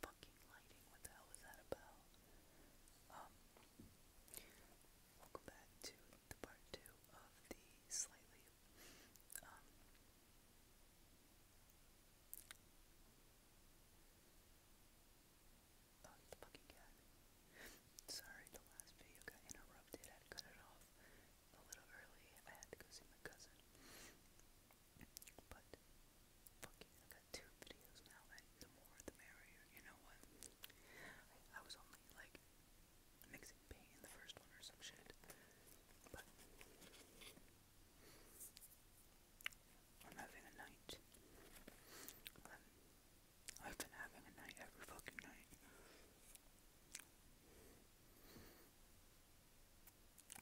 Fucking lighting, what the hell was that about? Um, welcome back to part two of the slightly, um, oh, fucking cat. Sorry, the last video got interrupted. I cut it off a little early. I had to go see my cousin. But fucking, I got two videos now, and the more the merrier. You know what? I, was only like mixing paint in the first one or some shit, but I'm having a night. I've been having a night every fucking night. You guys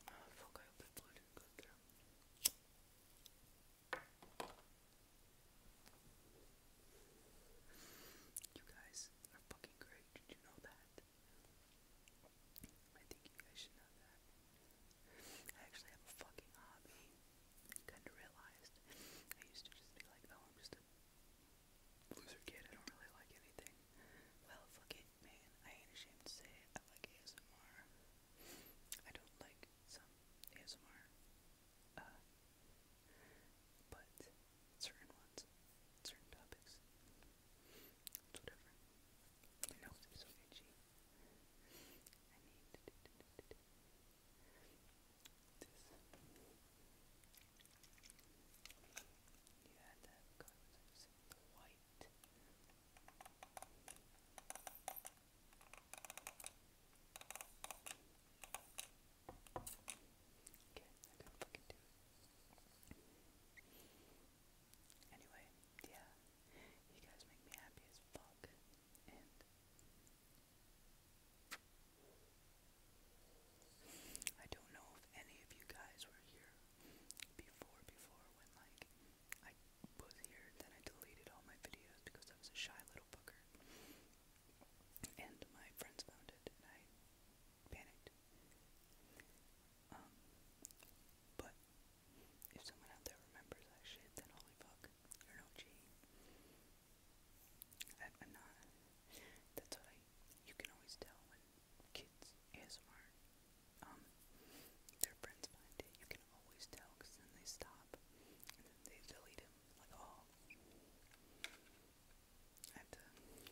are fucking great. Did you know that? I think you guys should know that. I actually have a fucking hobby. kind of realized. I used to just be like, oh, I'm just a loser kid. I don't really like anything. Well, fuck it. Man, I ain't ashamed to say it. I like ASMR. I don't like some ASMR. Uh, but certain ones, certain topics, it's whatever. My nose is so itchy. You had that color, the white, Okay, I couldn't fucking do it. Anyway, yeah, you guys make me happy as fuck, and I don't know if any of you guys were here before, before when like I was here, then I deleted all my videos because I was a shy little booker, and my friends found it, and I panicked. Um, but if someone out there remembers that shit, then holy fuck, you're no G. I, I'm not. That's what I. You can always tell when kids ASMR, um, their friends find it. You can always tell because then they stop and then they delete them. Like, oh, I have to. What would you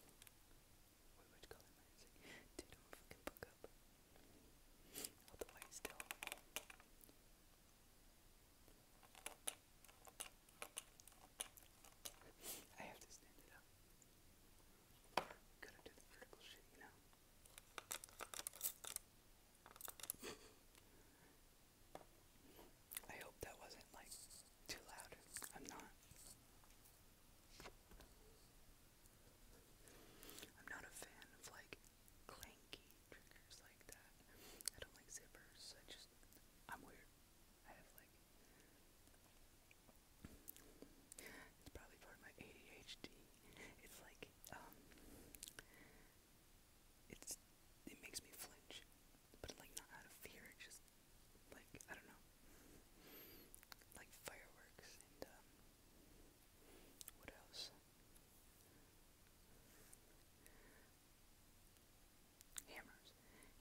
call fucking book up. Otherwise, they'll. I have to stand it up got you I hope that wasn't like too loud. I'm not. I'm not a fan of like clanky triggers like that. I don't like zippers. I just I'm weird. I have like it's probably part of my ADHD. It's like, um, it makes me flinch, but like not out of fear, just like, I don't know, like fireworks and, um, what else? Hammers.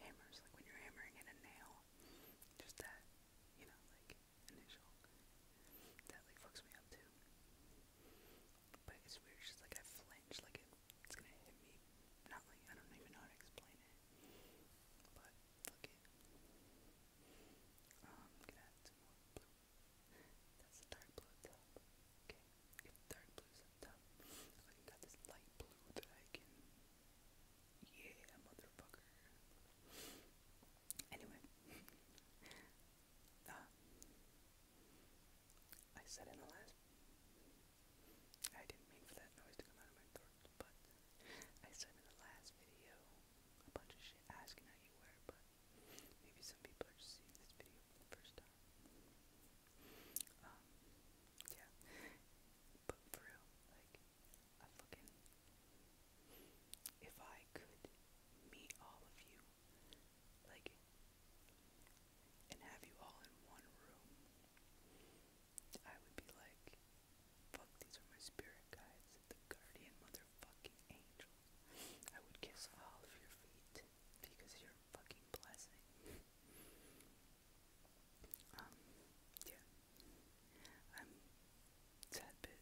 Hammers, like when you're hammering in a nail. Just that, you know, like initial. That like fucks me up too. But it's weird, it's like I flinch, like it's gonna hit me. Not like I don't even know how to explain it. But fuck Um, i some more blue. That's dark blue Okay, if dark blue's up top, I got this light blue that I can yeah, motherfucker. Anyway. uh, I said in the last. I didn't mean for that noise to come out of my throat, but I said in the last video a bunch of shit asking how you were, but maybe some people are just seeing this video for the first time. Um, yeah. But for real, like, I If I could meet all of you, like, and have you all in one room, I would be like, fuck, these are my spirit guides, the guardian motherfucking angel. I would kiss all of your feet because you're fucking blessing. Um, yeah. I'm bit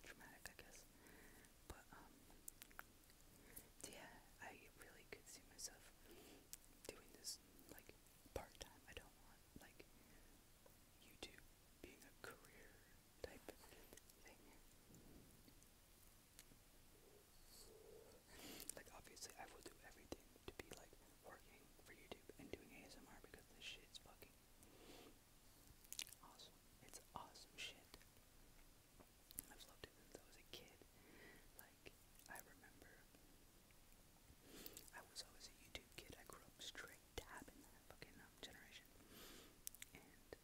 traumatic, I guess. But, um, yeah, I really could see myself doing this, like, part time. I don't want, like, YouTube being a career type thing. Like, obviously, I will do everything to be, like, working for YouTube and doing ASMR because this shit's fucking Awesome. It's awesome shit. I've loved it since I was a kid. Like, I remember I was always a YouTube kid. I grew up straight dab that fucking um, generation. And I remember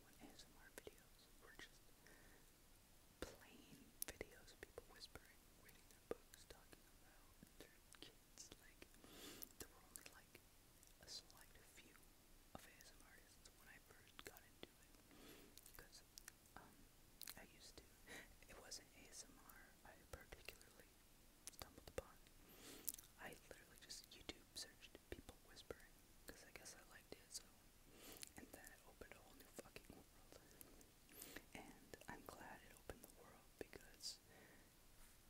when ASMR videos were just plain videos people whispering, reading books, talking about musicians. Like, there were only like a select few of artists when I first got into it. Because, um, I used to, it wasn't ASMR I particularly stumbled upon. I literally just YouTube searched people whispering, because I guess I liked it, so. And then opened a whole new fucking world. And I'm glad it opened the world because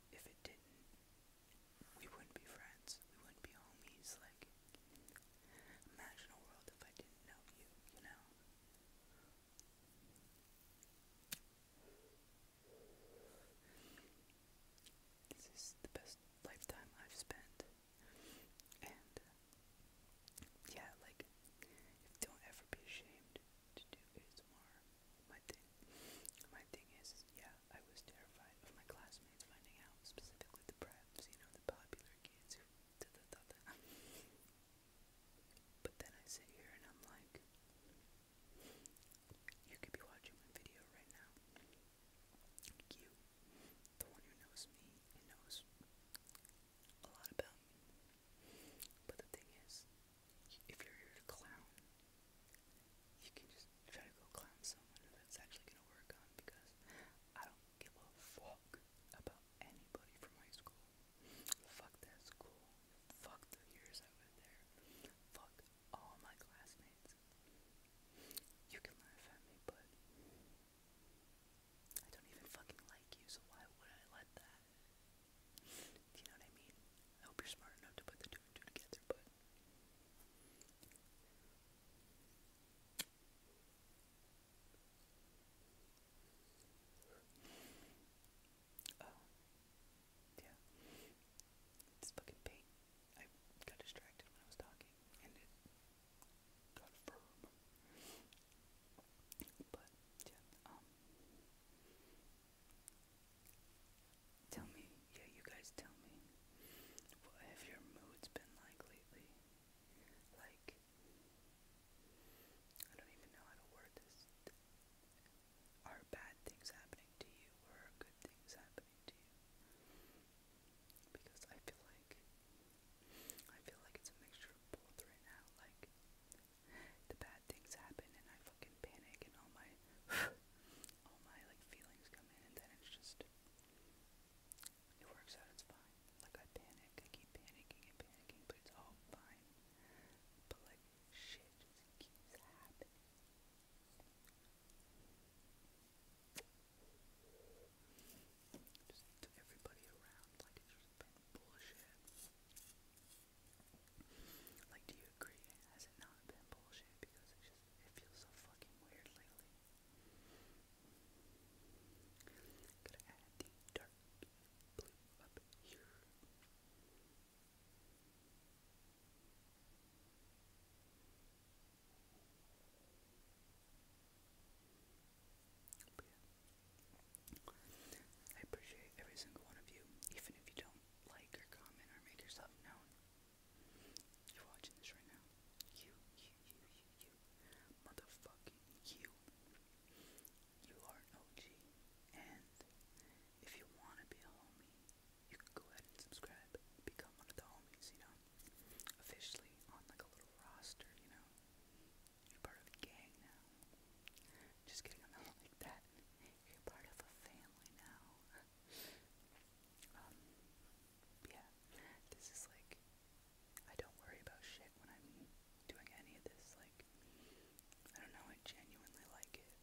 if it didn't, we wouldn't be friends. We wouldn't be homies. Like, imagine a world if I didn't know you, you know? This is the best lifetime I've spent. And, yeah, like, don't ever be ashamed to do ASMR. My thing, my thing is, yeah, I was terrified of my classmates finding out, specifically the preps, you know, the popular kids who did da da But then I sit here and I'm like, you could be watching my video right now. You, the one who knows me knows a lot about me. But the thing is, if you're here to clown, you can just try to go clown someone who that's actually gonna work on because I don't give a fuck about anybody from my school. Fuck that school. Fuck the years I was there. Fuck all my classmates. You can laugh at me, but I don't even fucking like you, so why would I let that do you know what I mean? I hope you're smart enough to put the two and two together, but oh yeah, it's fucking paint. I got distracted when I was talking, and it got firm. But yeah, um, Tell me, yeah, you guys tell me what have your moods been like lately? Like I don't even know how to word this. Are bad things happening to you or good things happening to you? Because I feel like I feel like it's a mixture of both right now. Like the bad things happen and I fucking panic and all my all my like feelings come in and then it's just it works out, it's fine. Like I panic, I keep panicking and panicking, but it's all fine. But like shit just keeps happening. Just to everybody around, like it's just been bullshit. Like, do you agree? Has it not been bullshit? Because it just it feels so fucking weird lately. I appreciate every single one of you, even if you don't like or comment or make yourself known. You're watching this right now. You, you, you, you, you. Motherfucking you. You are an OG. And if you want to be a homie, you can go ahead and subscribe. Become one of the homies, you know? Officially on like a little roster, you know? You're part of a gang now. Just kidding, I'm like that. You're part of a family now. Um, yeah. This is like, I don't worry about shit when I'm doing any of this. Like, I don't know, I genuinely like it.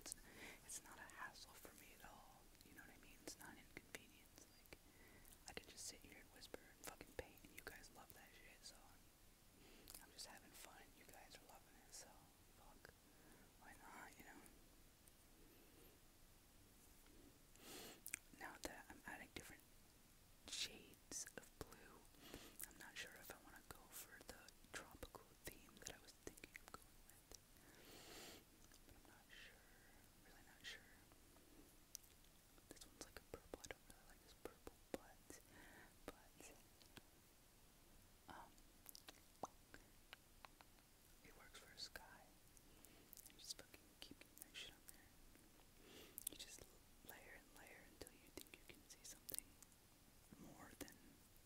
It's, it's not a hassle for me at all. You know what I mean? It's not an inconvenience. Like, I can just sit here and whisper and fucking paint, you guys love that shit, so I'm just having fun. You guys are loving it, so fuck. Why not, you know? Now that I'm adding different shades of blue, I'm not sure if I want to go for the tropical theme that I was thinking of going with. But I'm not sure. Really not sure. This one's like purple. I don't really like this purple, but but um, it works for a sky. You just fucking keep that shit on there. You just layer and layer until you think you can see something more than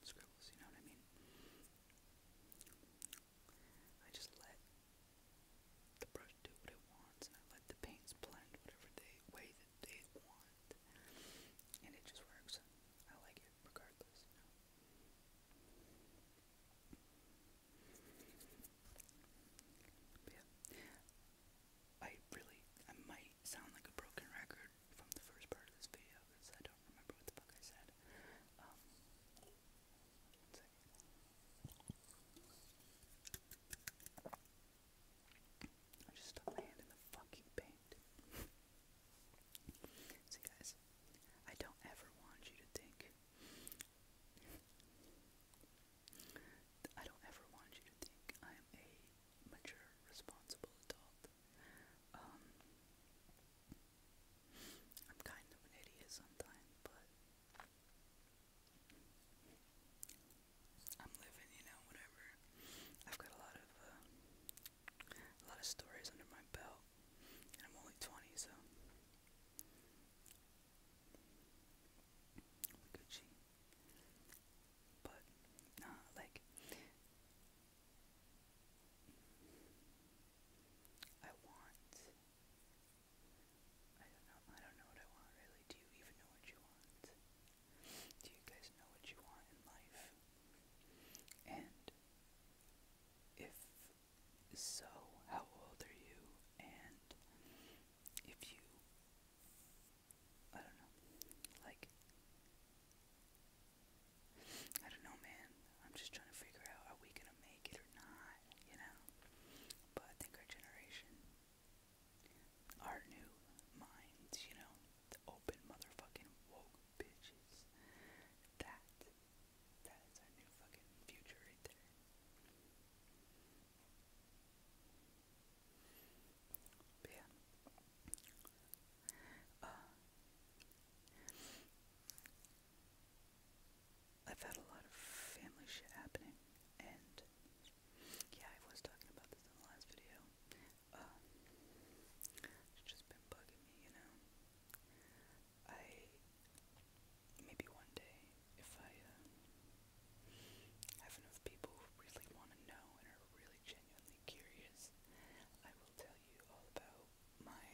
scribbles. You know what I mean? I just let the brush do what it wants, and I let the paints blend whatever they way they want. And it just works. I like it regardless, you yeah. I really, I might sound like a broken record from the first part of this video because I don't remember what the fuck I said. Um, I just stuck in the fucking paint. See, guys, I don't ever want you to think. I don't ever want you to think I am a mature, responsible adult. Um, I'm kind of an idiot sometimes, but I'm living, you know, whatever. I've got a lot of uh, a lot of stories under my belt, and I'm only 20, so Gucci. But like I want. I don't know. I don't know what I want really. Do you even know what you want? Do you guys know what you want in life? And if so, how old are you? And if you, I don't know, like, I don't know, man. I'm just trying to figure out are we gonna make it or not, you know? But I think our generation our new minds, you know, open motherfucking woke bitches. That that is our new fucking future right there. yeah. Uh, I've had a lot of family shit happening and yeah, I was talking about this in the last video. Um, it's just been bugging me, you know. I maybe one day, if I uh, have enough people who really want to know and are really genuinely curious, I will tell you all about my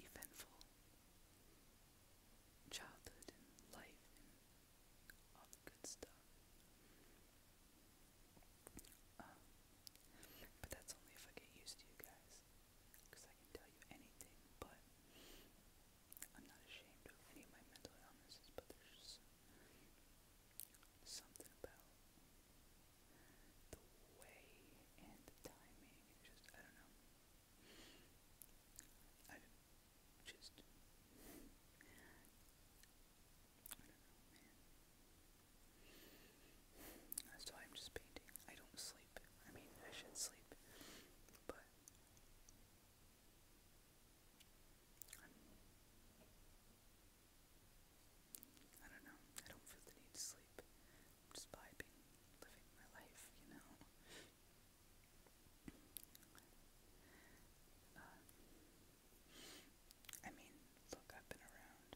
eventful childhood and life and all good stuff. Um, but that's only if I get used to you guys, because I can tell you anything, but I'm not ashamed of any of my mental illnesses, but there's something about the way and the timing, and just, I don't know. I I am just painting. I don't sleep. I mean, I should sleep, but I'm, I do not know. I don't feel the need to sleep. I'm just living my life, you know. Um, I mean, look, I've been around.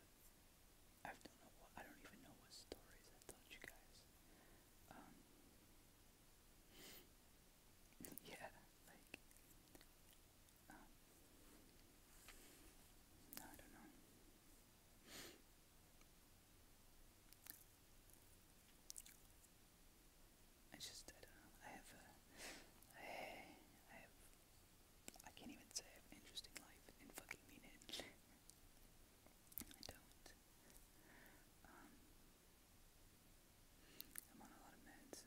I don't know what. I don't even know what stories I told you guys. Um, yeah, like, um, I don't know. I just, I have a, I, I have, I can't even say I have an interesting life and fucking mean it. I don't. Um, I'm on a lot of meds.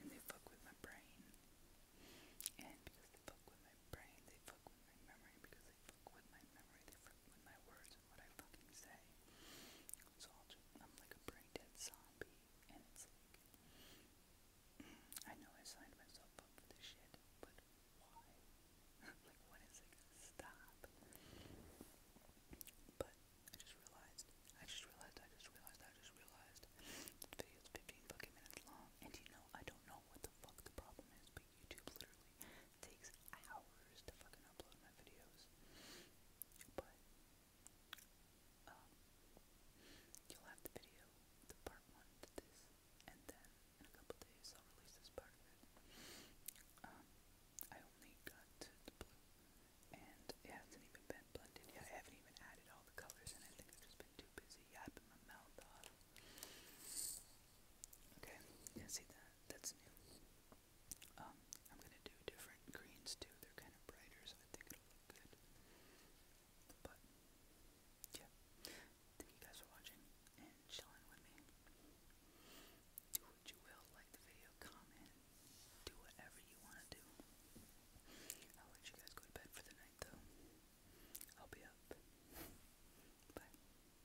and they fuck with my brain. And because they fuck with my brain, they fuck with my memory because with my memory, with my words and what I fucking say. So i just, I'm like a brain dead zombie, and it's like, I know I signed myself up for this shit, but why? like, what is it? Stop. But I just realized, I just realized, I just realized, I just realized, this video's 15 fucking minutes long, and you know, I don't know what the fuck the problem is, YouTube literally takes hours to fucking upload my videos. But um, you'll have the video, the part one this, and then in a couple days I'll release this part Um I only got the blue and it hasn't even been blended yet. I haven't even added all the colors and I think I've just been too busy yapping my mouth off. Okay, yeah, see that? That's new. Um, I'm gonna do different greens too. They're kind of brighter, so I think it'll look good. But yeah, thank you guys for watching and chilling with me. Do what you will, like the video, comment, do whatever you wanna do. I'll let you guys go to bed for the night though. I'll be up. Bye.